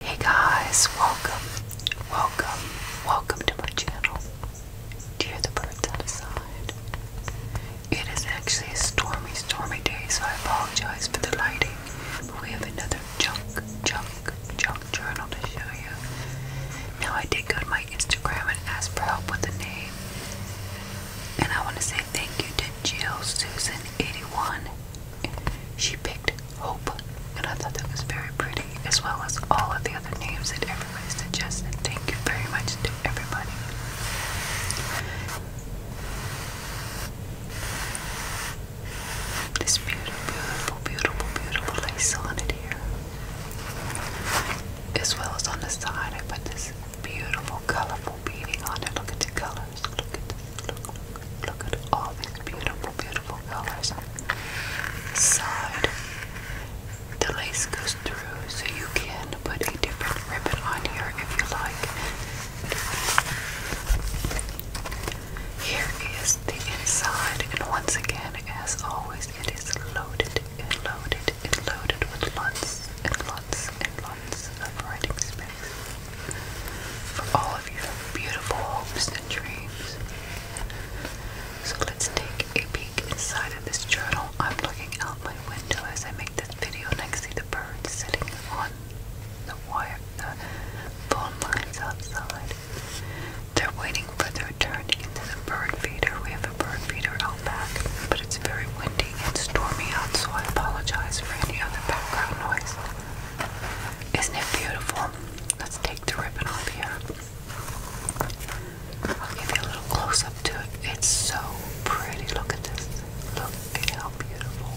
Hey guys, welcome, welcome, welcome to my channel. Do the birds outside? It is actually a stormy, stormy day, so I apologize for the lighting. But we have another junk, junk, junk journal to show you. Now I did go to my Instagram and ask for help with the name. And I want to say thank you to Jill Susan 81. She picked Hope, and I thought that was very pretty, as well as all of the other names that everybody suggested. Thank you very much to everybody. This beautiful, beautiful, beautiful, beautiful lace on it here as well as on the side. I put this beautiful, colorful beading on it. Look at the colors. Look at this. Look, look at all these beautiful, beautiful colors. Side. The lace goes through, so you can put a different ribbon on here if you like. Here is the inside, and once again, as always, it is loaded and loaded it is loaded with lots and lots and lots of writing space for all of your beautiful hopes and dreams. So let's take a peek inside of this journal. I'm looking out my window as I make this video and I can see the birds sitting on the wire, the phone lines outside. They're waiting for their to into the bird feeder. We have a bird feeder out back, but it's very windy and stormy out, so I apologize for any other background noise. Isn't it beautiful? Let's take the ribbon off here. I'll give you a little close up to it. It's so pretty. Look at this. Look at how beautiful.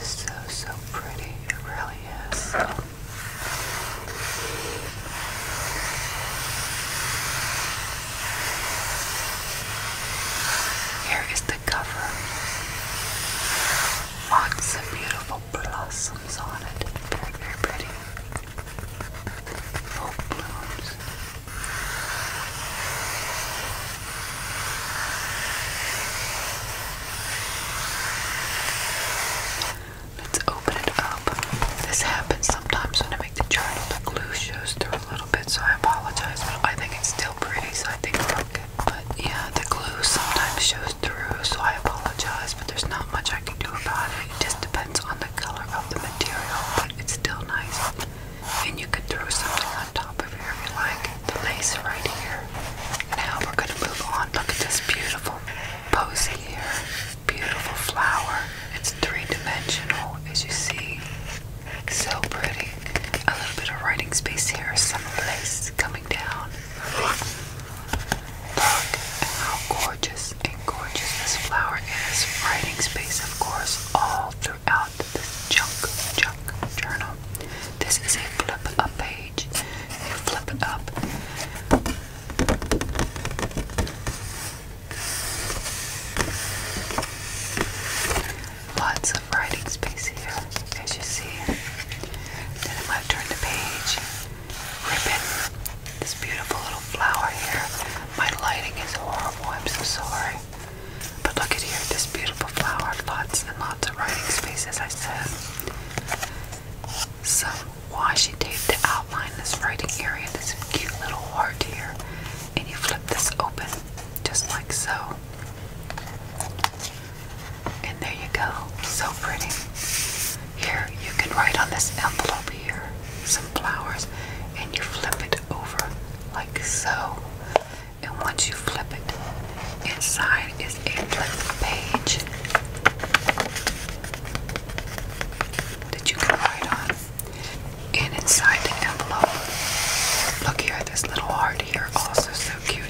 So, so pretty. It really is. Here is the cover. Lots of beautiful blossoms on it. Very, very pretty. Full blooms. Let's open it up. This happens sometimes when I make the journal. The glue shows through a little bit, so I apologize, but I think it's still pretty, so I think it's okay. But yeah, the glue sometimes shows through, so I apologize, but there's not much I can do about it. It just depends on the color of the material, but it's still nice. And you could throw something on top of here if you like. The lace right here. Now we're gonna move on. Look at this beautiful pose here beautiful flower. It's three-dimensional, as you see. So pretty. A little bit of writing space here, some lace coming down. Look at how gorgeous and gorgeous this flower is. Writing space, of course, all throughout this junk, junk journal. This is a flip-up page. You flip it up. Lots of writing space here, as you see. Then I'm going to turn the page. Ribbon. This beautiful little flower here. My lighting is horrible. I'm so sorry. But look at here, this beautiful flower. Lots and lots of writing space, I said. Some why tape to outline this writing area, this cute little heart here, and you flip this open just like so. And there you go, so pretty. Here, you can write on this envelope here some flowers, and you flip it over like so. And once you flip it, inside is a flip page that you can write on. And inside the envelope, look here, this little heart here, also so cute.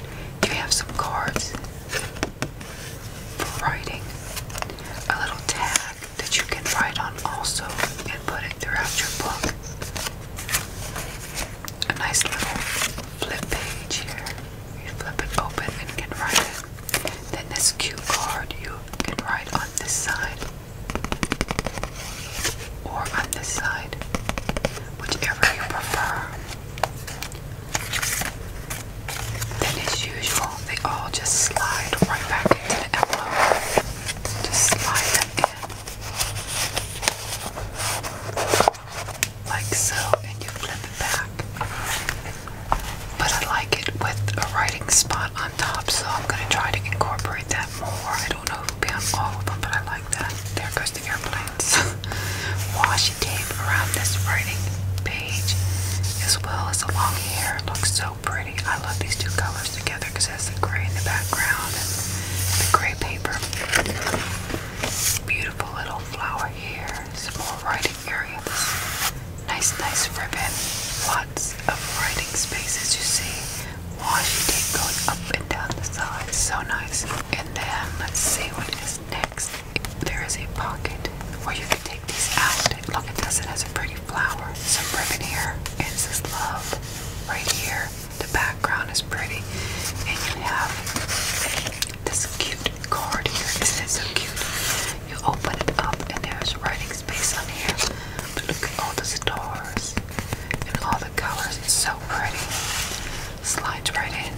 You have some cards for writing, a little tag that you can write on also and put it throughout your book. A nice little flip page here. You flip it open and can write it. Then this cue card you can write on this side or on this side, whichever you prefer. Then as usual, they all just slide right back into the envelope. Just slide them in. Like so, and you flip it back but I like it with a writing spot on top, so I'm going to try to incorporate that more. I don't know who it'll be on all of them, but I like that. There goes the airplanes. Washi tape around this writing page, as well as along here. It looks so pretty. I love these two colors together because it has the gray in the background and the gray paper. Beautiful little flower here. Some more writing areas. Nice, nice ribbon. Lots of writing space as you see. Washi tape going up and down the side. So nice. And then let's see what is next. There is a pocket where you can take these out. Look at this, it has a pretty flower. Some ribbon here. And it says love right here. The background is pretty. And you have this cute card here. Isn't so cute? You open it up and there's writing space on here. But look at all the stars and all the colors. It's so pretty. Slides right in.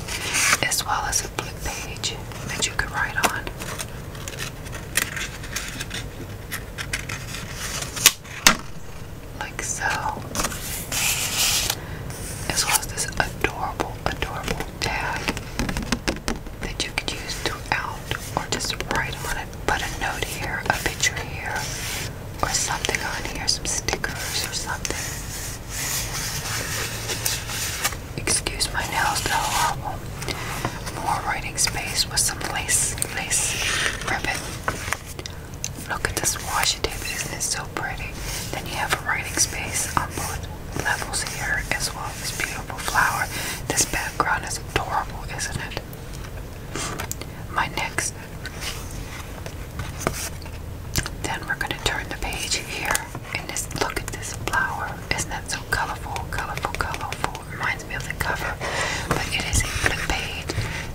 As well as a book page that you could write on. Like so. As well as this adorable, adorable tag that you could use throughout, or just write on it, put a note here, a picture here, or something on here, some stickers or something. Excuse my nails, they're More writing space with some lace, lace ribbon. Look at this washi tape, isn't it so pretty? Then you have a writing space on board levels here as well. This beautiful flower. This background is adorable, isn't it? My next. Then we're going to turn the page here and just look at this flower. Isn't that so colorful, colorful, colorful? Reminds me of the cover, but it is a flip page.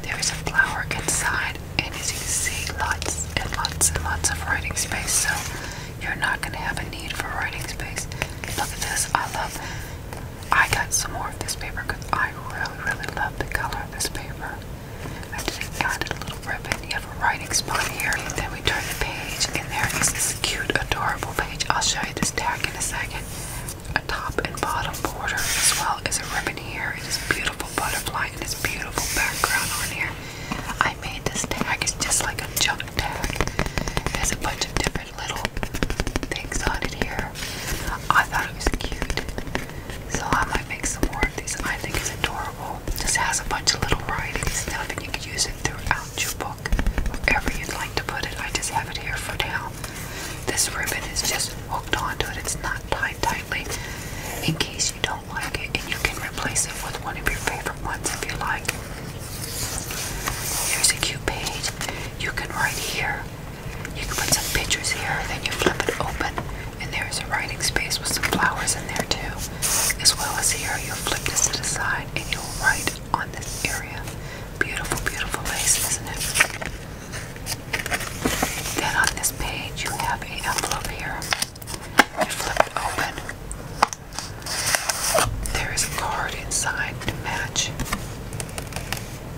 There is a flower inside, and as you can see, lots and lots and lots of writing space. So you're not going to have a need for writing space. Look at this. I love I got some more of this paper because I really, really love the color of this paper. I just got a little ribbon. You have a writing spot here. And then we turn the page, and there is this cute, adorable page. I'll show you this tag in a second. A top and bottom border, as well as a ribbon here. It is beautiful butterfly and this beautiful background on here. I made this tag. It's just like a jump there's a bunch of different little things on it here. I thought it was cute. So I might make some more of these. I think it's adorable. Just has a bunch of little writing stuff and you can use it throughout your book. Wherever you'd like to put it. I just have it here for now. This ribbon is just hooked onto it. It's not tied tightly. In case you don't like it, and you can replace it with one of your favorite ones if you like. Here's a cute page. You can write here. You can put some pictures here, then you flip it open, and there's a writing space with some flowers in there too. As well as here, you flip this to the side and you'll write on this area. Beautiful, beautiful lace, isn't it? Then on this page, you have a envelope here. You flip it open, there is a card inside to match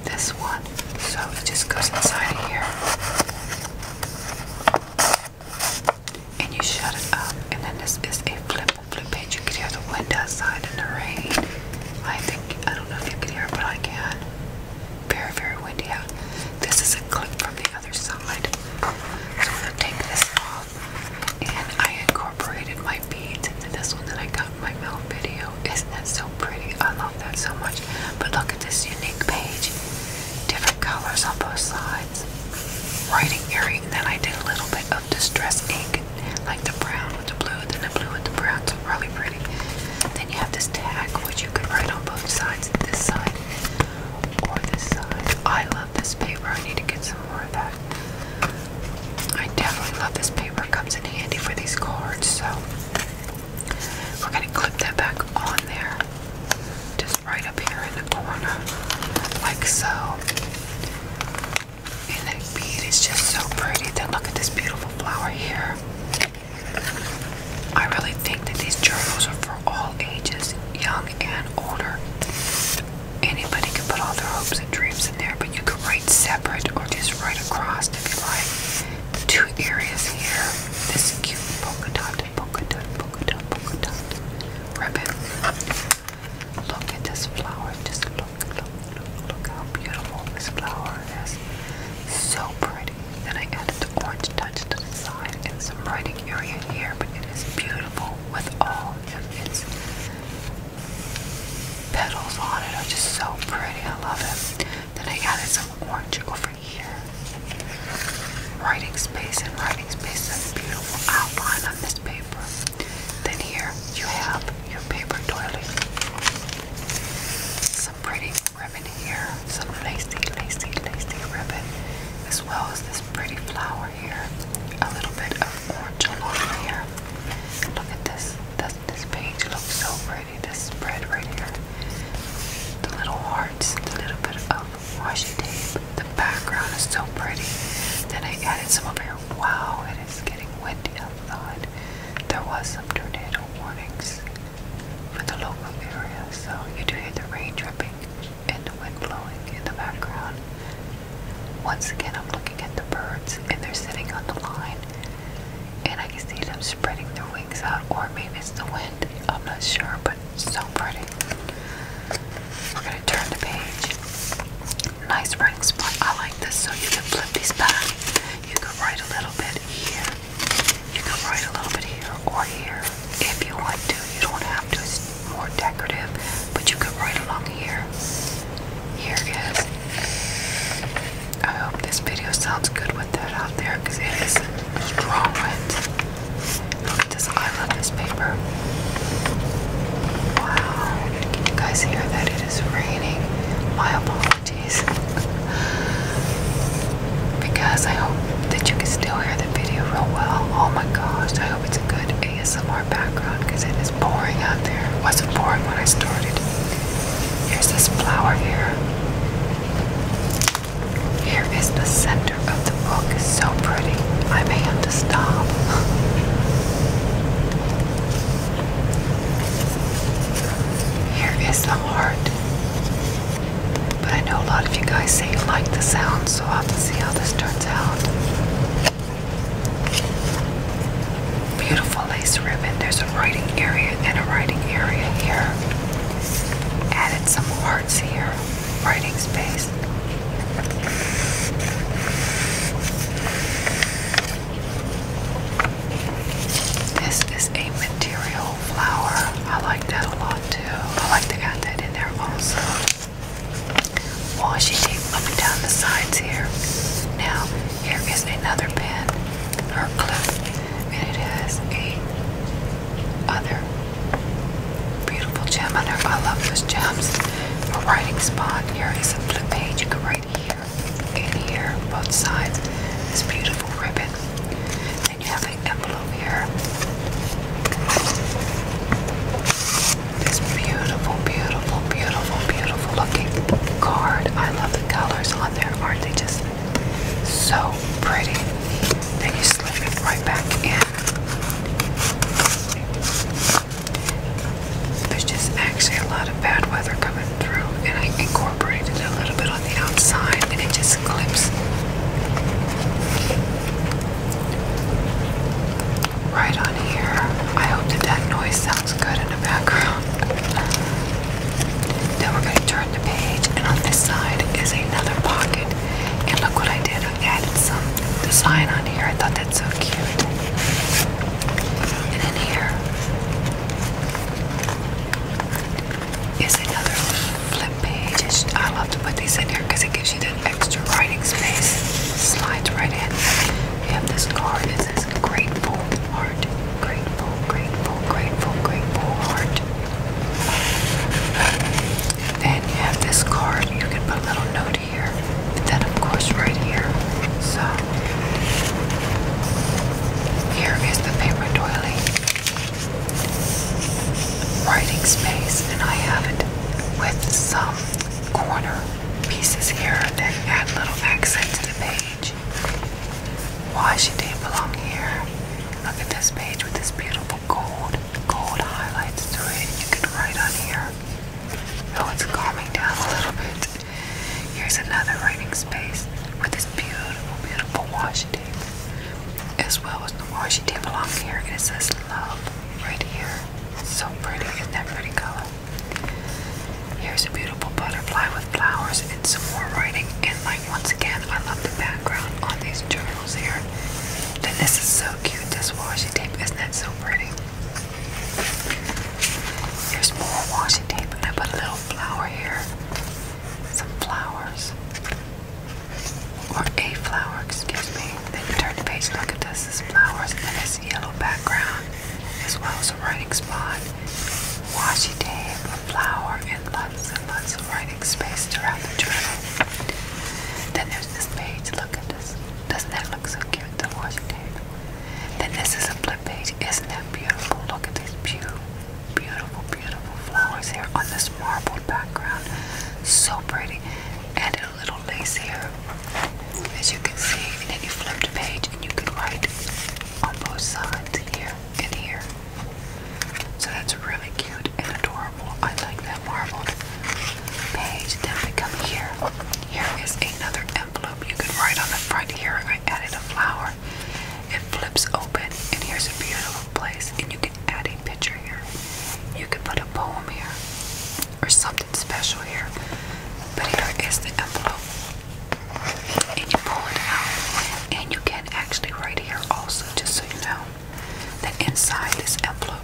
this one. So it just goes inside of here. And you shut it up. And then this is a flip flip page. You can hear the wind outside and the rain. I think I don't know if you can hear but I can. Very, very windy out. This is a clip from the other side. So we'll take this off and I incorporated my beads into this one that I got in my mail video. Isn't that so pretty? I love that so much. But look at this unique page. Different colors on both sides. Writing area, then I did a little bit of distressing, like the brown with the blue, then the blue with the brown. So really pretty. Then you have this tag, which you could write on both sides, this side or this side. I love this paper. I need to get some more of that. I definitely love this paper. Comes in handy for these cards. So we're gonna clip that back on there, just right up here in the corner, like so. And that bead is just so pretty. Then look at this beautiful flower here. I really think that these journals are for all ages, young young and older. Anybody can put all their hopes and dreams in there, but you could write separate or just write across if you like. Two areas here. This cute polka dot, polka dot, polka dot, polka dot ribbon. Look at this flower. Just look, look, look, look how beautiful this flower is. So pretty. Then I added the orange touch to the side and some writing area here, but it is beautiful with all of its petals on it are just so pretty. I love it. Then I added some orange over here. Writing space and writing space is a beautiful outline on this paper. Then here you have your paper doily. Some pretty ribbon here, some lacy, lacy, lacy ribbon, as well as this pretty flower here. A little bit of orange along here. Look at this. This, this page looks so pretty. This spread right here. The little hearts, the little bit of washi tape. The background is so pretty. Then I added some of here. Wow, it is getting windy outside. There was some tornado warnings for the local area, so you do hear the rain dripping and the wind blowing in the background. Once again, I'm looking at the birds and they're sitting on the line, and I can see them spreading their wings out, or maybe it's the wind. I'm not sure, but it's so pretty. We're gonna turn the page. Nice writing spot. I like this, so you can flip these back. You can write a little bit here. You can write a little bit here or here if you want to. You don't have to. It's more decorative, but you go right along here. Here it is. I hope this video sounds good with that out there because it is strong wind. Look I love this paper. Wow. guys hear that? It is raining. My apologies. because I hope that you can still hear the video real well. Oh my gosh, I hope it's a good ASMR background because it is boring out there. wasn't boring when I started. Here's this flower here. Here is the center of the book. It's so pretty. i may have to stop. Here is the heart. But I know a lot of you guys say you like the sound, so I'll have to see how this turns out. Beautiful lace ribbon. There's a writing area and a writing area here. Added some hearts here. Writing space. This is a material flower. I like that a lot. I like they got that in there also. Washi tape up and down the sides here. Now, here is another pen or clip, and it has a other beautiful gem on there. I love those gems. A writing spot. Here is a flip page. You can write here and here, both sides. This beautiful ribbon you have an envelope here. This beautiful, beautiful, beautiful, beautiful looking card. I love the colors on there. Aren't they just so pretty? Then you slip it right back in. There's just actually a lot of bad weather coming through, and I incorporated a little bit on the outside, and it just these clips. Right on here. I hope that that noise sounds good in the background. Then we're going to turn the page, and on this side is another pocket. And look what I did. I added some design on here. I thought that's so cute. And in here, is another flip page. I love to put these in here because it gives you that extra writing space. Slides right in. You this card is this grateful heart. Grateful, grateful, grateful, grateful heart. Then you have this card. You can put a little note here. And then of course right here. So here is the paper doily writing space, and I have it with some corner pieces here that add little accent to the page. Why she didn't belong here. Look at this page with this beautiful gold, gold highlights to it. You can write on here. Oh, it's calming down a little bit. Here's another writing space with this beautiful, beautiful wash as well as the washi tape along here, and it says love right here. So pretty, is that pretty color? Here's a beautiful butterfly with flowers and some more writing. And like once again, I love the background on these journals here. Then this is so cute, this washi tape, isn't that so pretty? Here's more washi tape, and I put a little flower here. Some flowers or a flower, excuse me. Then you turn the page, look at this, this flowers, and this yellow background, as well as a writing spot. Washi tape, a flower, and lots and lots of writing space throughout the journal. Then there's this page, look at this. Doesn't that look so cute, the washi tape? Then this is a flip page, isn't that beautiful? Look at these beautiful, beautiful, beautiful flowers here on this marble background. So pretty. And a little lace here, as you can see. And then you flip the page and you can write on both sides here and here. So that's really cute and adorable. I like that marbled page. Then we come here. Here is another envelope. You can write on the front here. I added a flower. It flips open, and here's a beautiful place and you can add a picture here. You can put a poem here or something special here. But here is the envelope. And you pull it out. And you can actually write here also, just so you know, that inside this envelope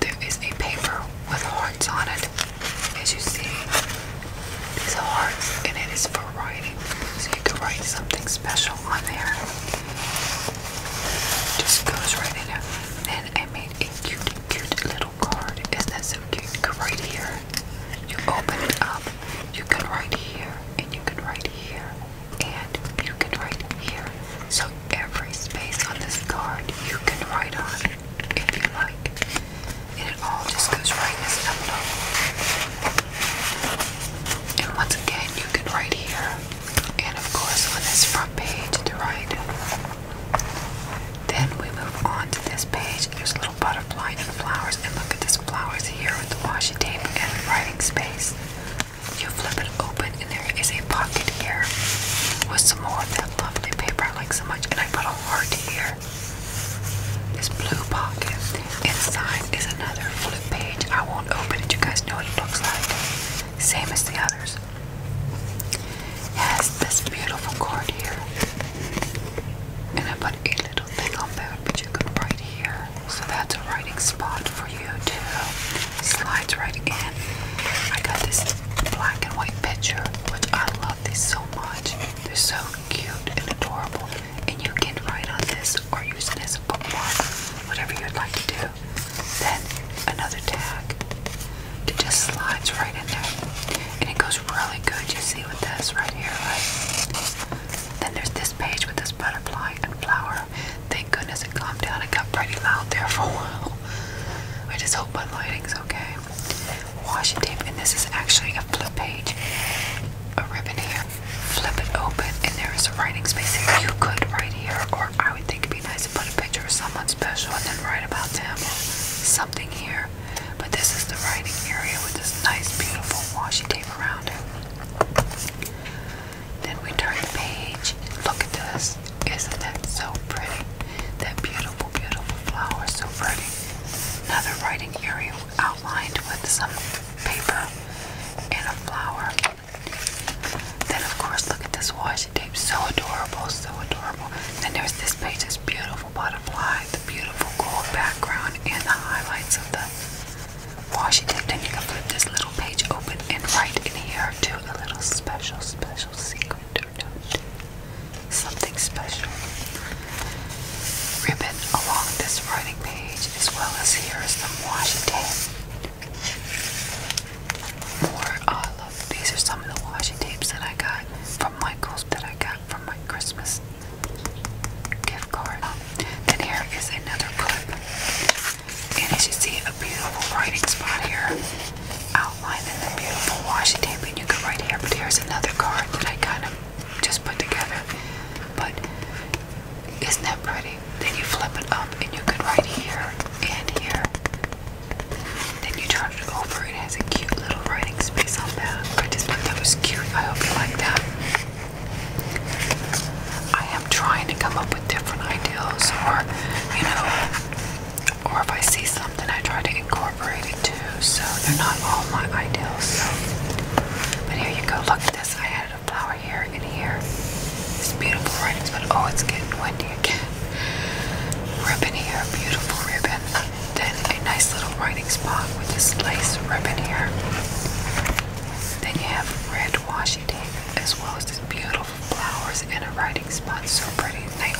there is a paper with hearts on it. As you see, these hearts, and it is for writing. So you can write something special on there. Just goes right in there. Then I made a cute, cute little card. Isn't that so cute? Right here. You open it up. You can write here, and you can write here, and you can write here. So every space on this card you can write on if you like. And it all just goes right in this envelope. And once again, you can write here, and of course, on this front page to write. Then we move on to this page. There's a little butterfly and flowers, and look at this flowers here with the washi tape and writing space. You flip it open, and there is a pocket here with some more of that lovely paper I like so much, and I put a heart here. This blue pocket. Inside is another flip page. I won't open it. You guys know what it looks like. Same as the others. It has this beautiful card here. And I put a little thing on there but you could write here. So that's a writing spot for you too. Slides right in. I got this black and white picture, which I love this so much. They're so cute and adorable and you can write on this or use it as a bookmark, whatever you'd like to do. Then another tag that just slides right in there. And it goes really good, you see with this right here, right? Then there's this page with this butterfly and flower. Thank goodness it calmed down. It got pretty loud there for a while. I just hope my lighting's okay. Washi tape, and this is actually a flip page, a ribbon here flip it open, and there is a writing space here. You could write here, or I would think it'd be nice to put a picture of someone special and then write about them something here. But this is the writing area with this nice, beautiful washi tape around it. Then we turn the page. Look at this. Isn't that so pretty? That beautiful, beautiful flower. So pretty. Another writing area outlined with some paper and a flower. Then of course look at this washi tape. So adorable, so adorable. Then there's this page, this beautiful butterfly, the beautiful gold background and the highlights of the washi tape. And you can flip this little page open and right in here to a little special, special secret or note. Something special. Ribbon along this writing page as well as here is the Washington. More I uh, love these are some of the washi tapes that I got from Michaels that I got from my Christmas gift card. Then here is another clip. And as you see a beautiful writing spot here. Outlined in the beautiful washi tape and you can write here. But here's another card that I kind of just put together. But isn't that pretty? Then you flip it up and you can write here and here. Then you turn it over. It has a cute little writing space on that. I just thought that was cute. I hope you like that. I am trying to come up with different ideas or, you know, or if I see something, I try to incorporate it too. So they're not all my ideas. But here you go. Look at this. I had flower here and here. It's beautiful writing but oh, it's getting windy again. Ribbon here, beautiful ribbon. Then a nice little writing spot with this lace ribbon here. Then you have red washi tape as well as this beautiful flowers and a writing spot. So pretty. They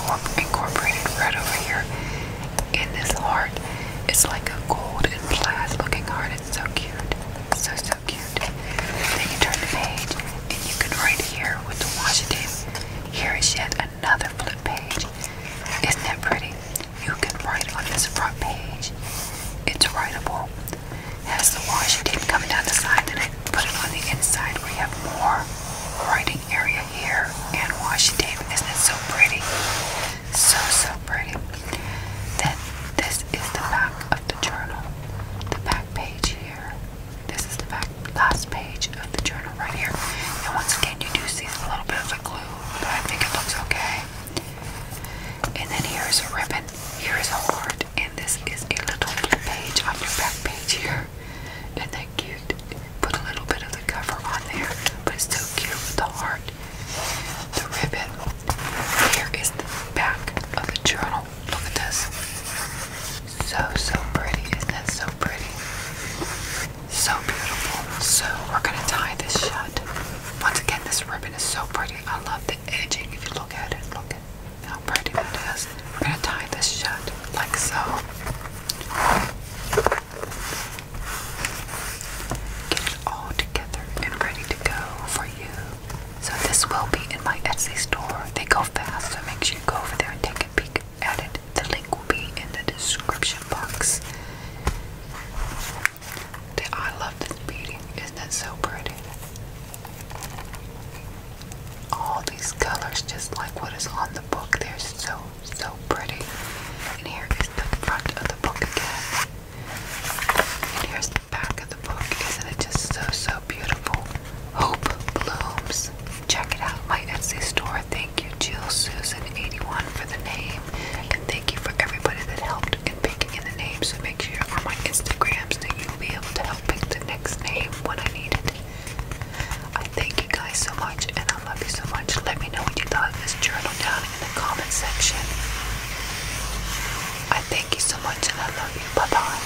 incorporated red over here in this heart. It's like a gold and plaid looking heart. It's so cute. So, so cute. Then you turn the page and you can right here with the Washington. Here is yet another flip page. Isn't that pretty? You can write on this front page. It's writable. has the Washington coming down the side, then put it on the inside where you have more writing area here and Washington. Isn't it so pretty? So, so pretty. Then, this is the back of the journal. The back page here. This is the back last page of the journal right here. And once again, you do see a little bit of a glue, but I think it looks okay. And then here is a ribbon. Here is a heart. And this is a little page on your back page here. And that cute? Put a little bit of the cover on there, but it's so cute with the heart. The ribbon. Here is the back of the journal. Look at this. So, so pretty. Isn't it so pretty? So beautiful. So, we're going to tie this shut. Once again, this ribbon is so pretty. I love the edging. If you look at it, look at how pretty that is. We're going to tie this shut like so get it all together and ready to go for you. So this will be in my Etsy store. They go fast, so make sure you go over there and take a peek at it. The link will be in the description box. I love this beading. Isn't it so pretty? All these colors, just like what is on the book, they're so, so pretty. And here is the front of the book again. And here's the back of the book. Isn't it just so, so beautiful? Hope Blooms. Check it out. My Etsy store. Thank you, Jill Susan81 for the name. And thank you for everybody that helped in picking in the name. So make sure you're on my Instagrams so that you'll be able to help pick the next name when I need it. I thank you guys so much and I love you so much. Let me know what you thought of this journal in the comment section. I thank you so much and I love you. Bye bye.